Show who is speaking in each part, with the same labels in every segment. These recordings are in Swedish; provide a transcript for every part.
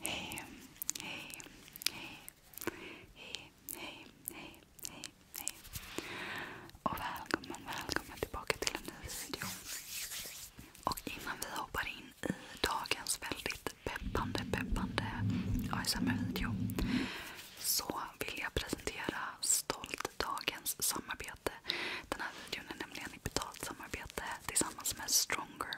Speaker 1: Hej, hej, hej, hej, hej, hej, Och välkommen, välkommen tillbaka till en ny video. Och innan vi hoppar in i dagens väldigt peppande, peppande ASMR-video så vill jag presentera stolt dagens samarbete. Den här videon är nämligen ett betalt samarbete tillsammans med Stronger.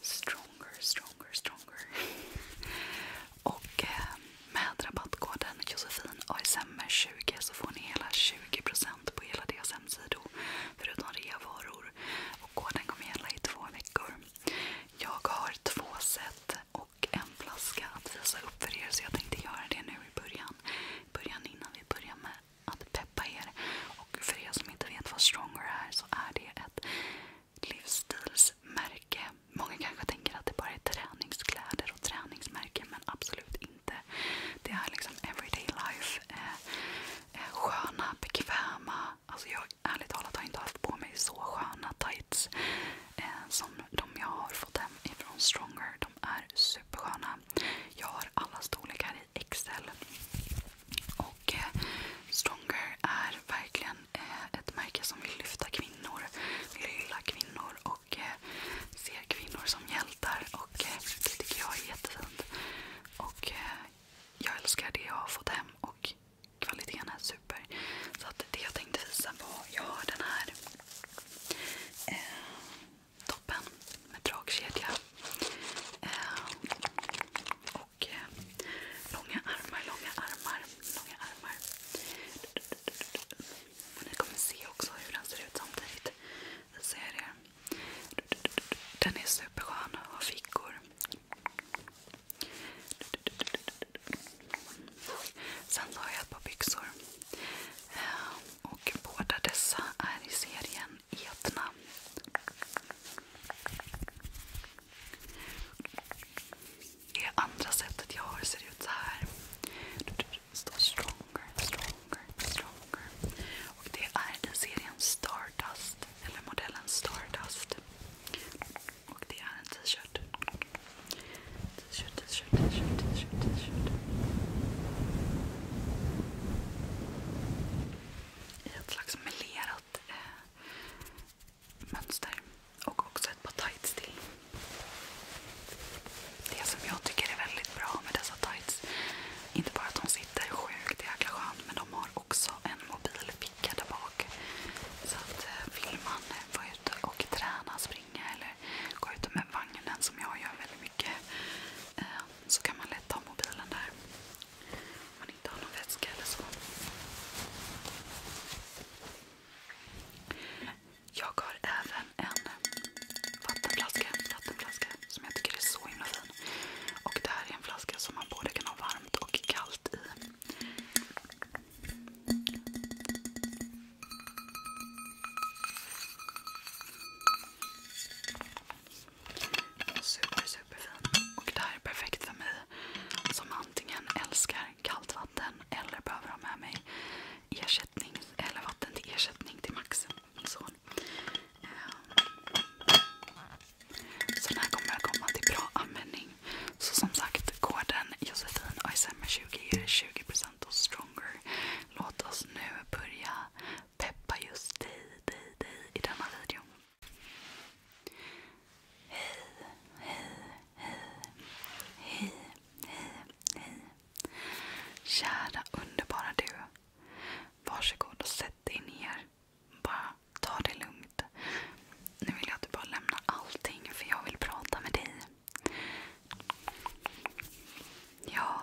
Speaker 1: Stronger, stronger, stronger. Och eh, med rabattkoden JosefinASMR20 så får ni hela 20% på hela deras hemsidor förutom reavaror. Och koden kommer gälla i två veckor. Jag har två set och en flaska att visa upp för er. Så jag tänkte göra det nu i början. innan vi börjar med att peppa er. Och för er som inte vet vad Stronger är så är det ett livsstilsmärke. Många kanske tänker att det bara är träningskläder och träningsmärken men absolut inte. Det är liksom everyday life. Eh, eh, sköna, bekväma. Alltså ärligt talat har inte haft på mig så sköna tights Eh, som de jag har fått hem ifrån Stronger. De är supersköna. Jag har alla storlekar i XL. Och eh, Stronger är verkligen eh, ett märke som vill lyfta kvinnor, vill hylla kvinnor och eh, ser kvinnor som hjältar. Och Det tycker jag är jättefint. Och, jag älskar det jag har fått hem och kvaliteten är superbra super. Så att det jag tänkte visa var, jag har den här eh, toppen med dragkedja. Eh, och eh, långa armar, långa armar, långa armar. Och ni kommer se också hur den ser ut samtidigt. Jag ser er. Den är superskön och har fickor. Sen så har jag ett par byxor. Eh, och båda dessa är i serien Etna. Det andra sättet jag har ser ut så här. Det står Stronger, Stronger, Stronger. Och det är i serien Stardust. Eller modellen Stardust. Och det är en t-shirt. T-shirt, t-shirt, t-shirt, t-shirt, I ett slags melerat eh, mönster. Och också ett par tights till. Det som jag tycker är väldigt bra med dessa tights, inte bara att de sitter sjukt jäkla skönt, men de har också en mobilfjäder ficka där bak. Så att eh, vill man eh, vara ute och träna, springa eller gå ute med vagnen som jag gör väldigt mycket eh, så kan man lätt ta mobilen där. Om man inte har någon väska eller så. Jag har även en vattenflaska, vattenflaska som jag tycker är så himla fin. Och det här är en flaska som man både kan ha varmt och kallt i. Super, super Och det här är perfekt för mig som antingen älskar kallt vatten eller behöver ha med mig vatten till ersättning till Max, ehm. Så den här kommer att komma till bra användning så som sagt, koden Josefin och 20 är 20% och Stronger. Låt oss nu börja peppa just dig, dig, dig i denna video. Hej, hej, hej, hej, hej, hej. Kära underbara du. Varsågod och sätt dig ner. Bara Ta det lugnt. Nu vill jag att du bara lämnar allting för jag vill prata med dig. Ja,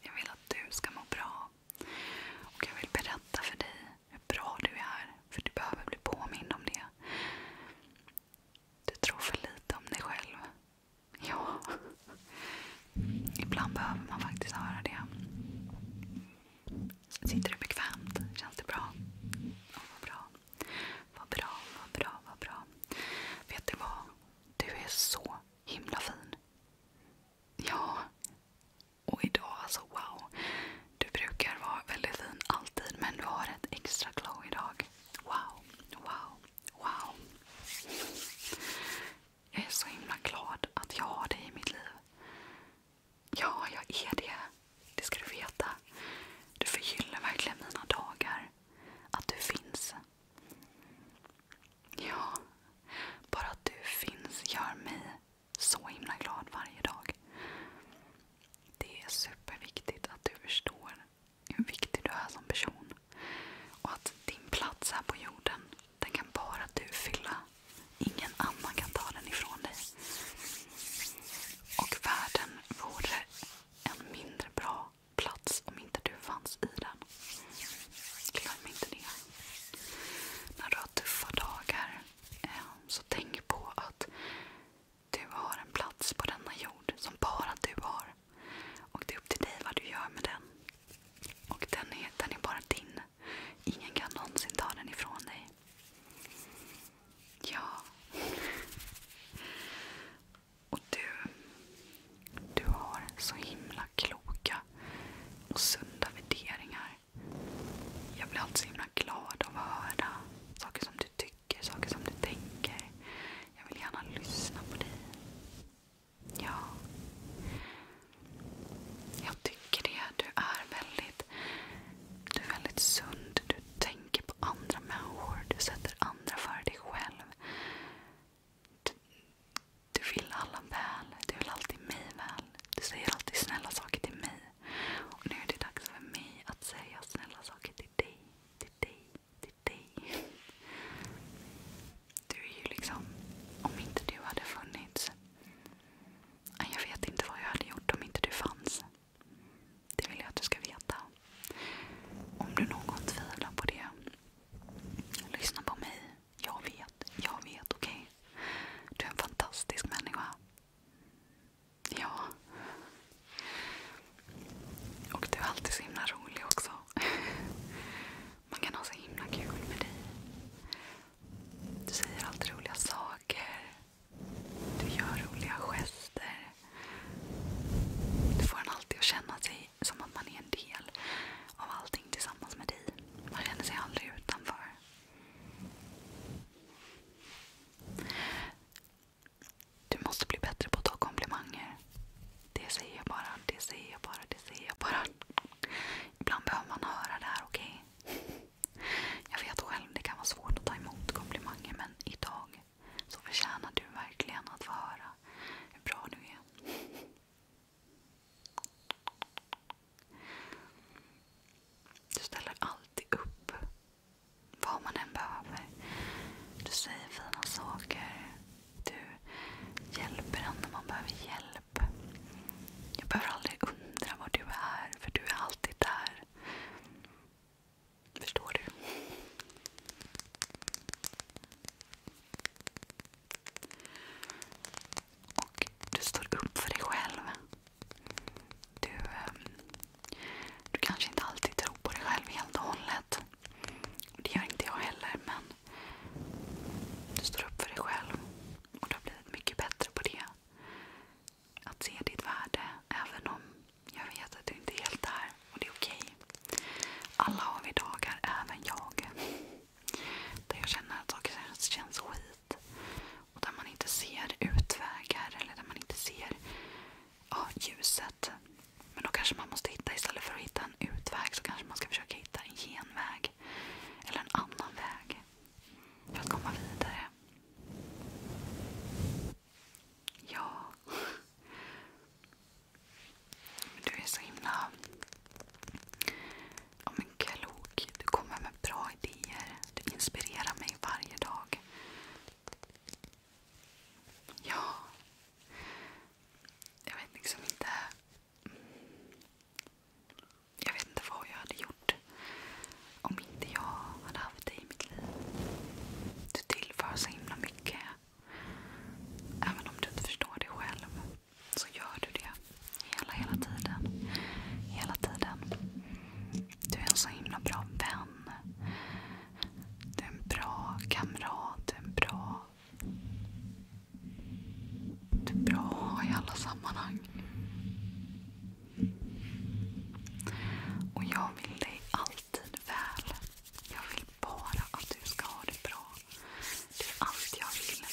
Speaker 1: jag vill att du ska må bra. Och jag vill berätta för dig hur bra du är. För du behöver bli påmind om det. Du tror för lite om dig själv. Ja. Ibland behöver man faktiskt höra det. Sitter du bekvämt? Känns det bra? Oh, vad bra. Vad bra, vad bra, vad bra. Vet du vad? Du är så himla fin. Ja. Och idag, alltså wow. Du brukar vara väldigt fin alltid, men du har ett extra glow idag. Wow, wow, wow. Jag är så himla glad att jag har dig i mitt liv. Ja, jag är det. Det ska du veta. Du förgyller verkligen mina dagar. Att du finns. Ja, bara att du finns gör mig så himla glad varje dag. Det är superviktigt att du förstår hur viktig du är som person. Och att din plats här på jorden, den kan bara du fylla. Ingen annan kan ta den ifrån dig. Och världen vore en mindre bra plats om inte du fanns i den. Glöm inte det. När du har tuffa dagar eh, så tänk på att du har en plats på denna jord som bara du har. Och det är upp till dig vad du gör med den. Och den är, den är bara din. Ingen kan någonsin ta den ifrån dig. Ja. Och du. Du har så himla kloka och sunda värderingar. Jag blir alltid så himla glad av att höra saker som du tycker, saker som du tänker. Jag vill gärna lyssna på dig. Ja. Jag tycker det. Du är väldigt sund. Du tänker på andra människor. Du sätter andra före dig själv. Du, vill alla väl. Du vill alltid mig väl. Du säger alltid snälla saker till mig. nu är det dags för mig att säga snälla saker till dig. Till dig. Till dig. Du är ju liksom... Om inte du hade funnits jag vet inte vad jag hade gjort om inte du fanns. Det vill jag att du ska veta. Om du någon tvivlar på det, lyssna på mig. Jag vet, jag vet, okej? Okay? Du är en fantastisk människa. Ja. Och du är alltid så himla rolig också. Man kan ha så himla kul med dig. Du säger alltid roliga saker. Du gör roliga gester. Du får en alltid att känna sig som att man är en del av allting tillsammans med dig. Man känner sig aldrig utanför. Du måste bli bättre på att ta komplimanger. Det säger jag bara, det säger jag bara, det säger jag bara. Ibland behöver man höra det här, okej? Okay? Jag vet själv, det kan vara svårt att ta emot komplimanger men idag så förtjänar du verkligen att få höra hur bra du är. Du ställer alltid upp. Vad man än behöver. Du säger fina saker. Du hjälper en när man behöver hjälp. Jag behöver aldrig undra var du är, för du är alltid där. Förstår du? Och du står upp för dig själv. du ehm, kanske inte alltid tror på dig själv helt och hållet. Det gör inte jag heller, men du står upp för dig själv. Och du har blivit mycket bättre på det. Att se ditt värde, även om jag vet att du inte är helt där. Och det är okej. Alla har vi dagar, även jag. Där jag känner att saker känns skit. Och där man inte ser utvägar eller där man inte ser ljuset. Men då kanske man måste hitta, istället för att hitta en utväg så kanske man ska försöka hitta en genväg väg. Eller en annan väg. För att komma vidare. Ja. Du är så himla ja, men klok. Du kommer med bra idéer. Du inspirerar mig varje dag. Ja. Jag vet liksom inte jag vet inte vad jag hade gjort om inte jag hade haft dig i mitt liv. Du tillför så himla mycket. Även om du inte förstår det själv så gör du det hela, hela tiden. Hela tiden. Du är en så himla bra vän. Du är en bra kamrat. Du är en bra det är bra att ha i alla sammanhang. Och jag vill dig alltid väl. Jag vill bara att du ska ha det bra. Det är allt jag vill.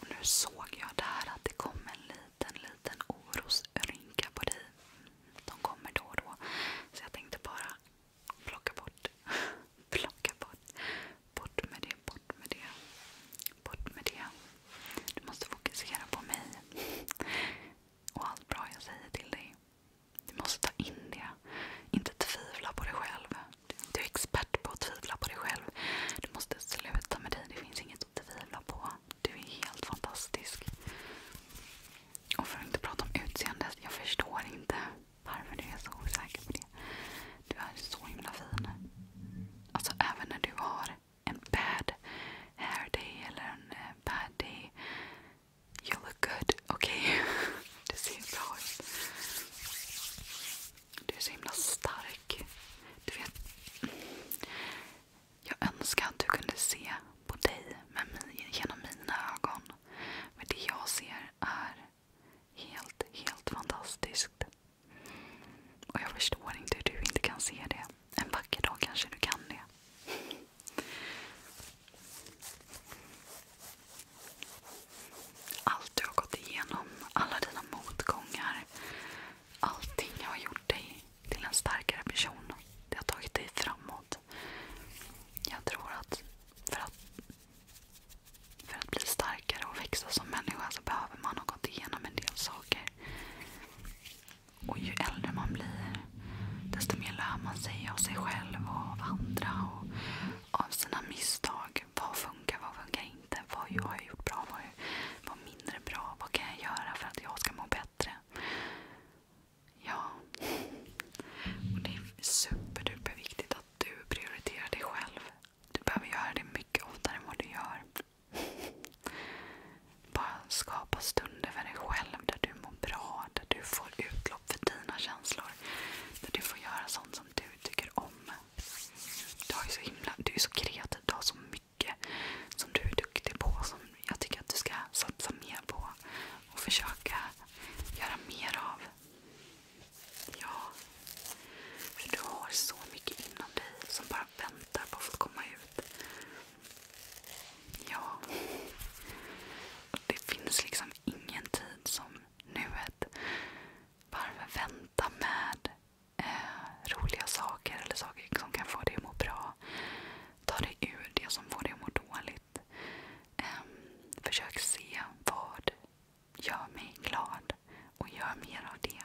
Speaker 1: Och nu såg jag där att det kom en liten, liten orosrynka på dig. De kommer då och då. Så jag tänkte bara plocka bort. plocka bort. Bort med det, bort med det. Bort med det. Du måste fokusera på mig. Och allt bra jag säger till dig. Du måste ta in det. Inte tvivla på dig själv. Du är expert på att tvivla på dig själv. Du måste sluta med dig. Det finns inget att tvivla på. Du är helt fantastisk. Och för att inte prata om utseendet. Jag förstår inte. Varför är jag så osäker på det? Du är så himla fin. Alltså även när du har en bad hair day eller en eh, bad day. You look good. Okej? Okay? ser bra ut. Du är så himla stark. Du vet, mm, jag önskar att du kunde se på dig med min, genom mina ögon. Men det jag ser är Helt, helt fantastiskt. Och jag förstår inte hur du inte kan se det. En vacker dag kanske du kan det. Allt du har gått igenom, alla dina motgångar. Allting har gjort dig till en starkare person. Det har tagit dig framåt. Jag tror att för att för att bli starkare och växa som människa så behöver man ha gått igenom en del saker. Och ju äldre man blir desto mer lär man sig av sig själv och av andra. Och av sina misstag. Vad funkar, vad funkar inte? Vad har jag gjort bra? Vad, vad mindre bra? Vad kan jag göra för att jag ska må bättre? Ja. Och det är superduper viktigt att du prioriterar dig själv. Du behöver göra det mycket oftare än vad du gör. Bara skapa stunder för dig själv där du mår bra, där du får utlopp för dina känslor. Där du får göra sånt som du tycker om. du är så kreativ, du har så mycket som du är duktig på. Som jag tycker att du ska satsa mer på och försöka göra mer av. Ja. För du har så mycket inom dig som bara väntar på att få komma ut. Ja. det finns liksom ingen tid som nuet. Varför vänta med eh, roliga saker eller saker som kan få dig att må bra? Ta dig ur det som får dig att må dåligt roligt. Ehm, försök se vad gör mig glad och gör mer av det.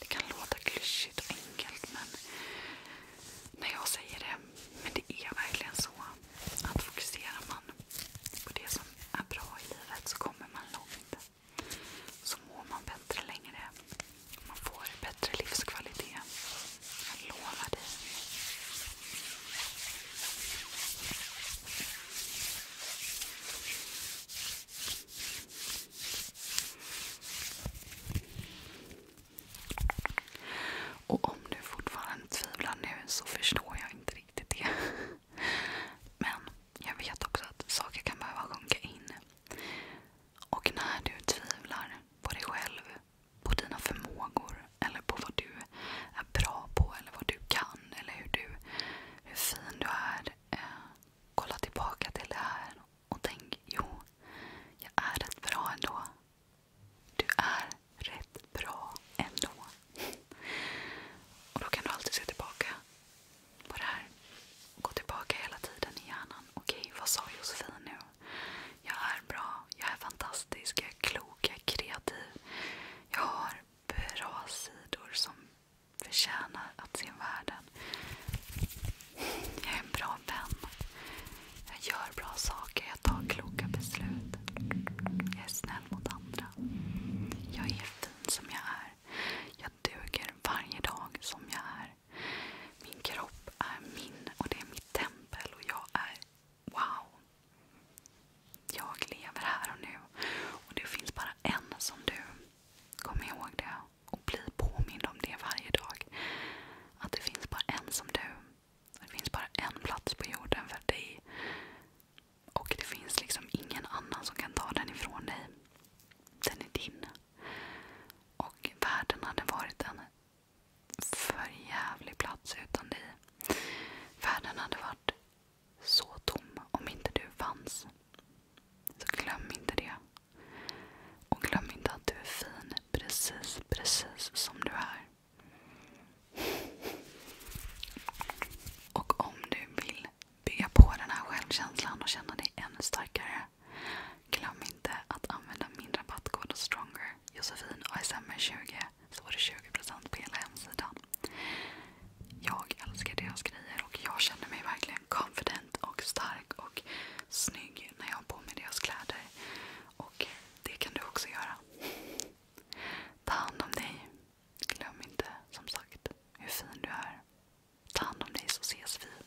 Speaker 1: Det kan låta klyschigt och enkelt men när jag säger det, men det är verkligen så att fokuserar man på det som är bra i livet så kommer man långt. Så mår man bättre längre. Man får bättre livskvalitet. Jag lovar dig. Och om du fortfarande tvivlar nu så förstår jag inte riktigt det. Men jag vet också att saker kan behöva sjunka in. Och när du tvivlar på dig själv på dina förmågor eller på vad du är bra på eller vad du kan eller hur, du, hur fin du är. Eh, kolla tillbaka till det här och tänk, jo, jag är rätt bra ändå. Du är rätt bra ändå. Och då kan du alltid se tillbaka på det här. Gå tillbaka hela tiden i hjärnan. Okej, vad sa Josefin nu? Jag är bra, jag är fantastisk, jag är klok, jag är kreativ. Jag har bra sidor som förtjänar att se världen. Jag är en bra vän. Jag gör bra saker, jag tar kloka beslut. Jag är snäll mot andra. Jag är fin som jag är. Jag duger varje dag som jag är. Min kropp är min och det är mitt tempel och jag är wow, jag lever här och nu. Och det finns bara en som du. Kom ihåg det och bli påmind om det varje dag. Att det finns bara en som du. Det finns bara en plats på jorden för dig. Och det finns liksom ingen annan som kan ta den ifrån dig. Den är din. Och världen hade varit en för jävlig plats utan dig. Världen hade varit så tom om inte du fanns. Så glöm inte det. Och glöm inte att du är fin precis, precis som du är. Och om du vill bygga på den här självkänslan och känna dig ännu starkare Glöm inte att använda min rabattkod Stronger, Josefin och SMR20 så får du 20% på hela hemsidan. Jag älskar deras grejer och jag känner mig verkligen confident och stark och snygg när jag har på mig deras kläder. Och det kan du också göra. Ta hand om dig. Glöm inte, som sagt, hur fin du är. Ta hand om dig så ses vi.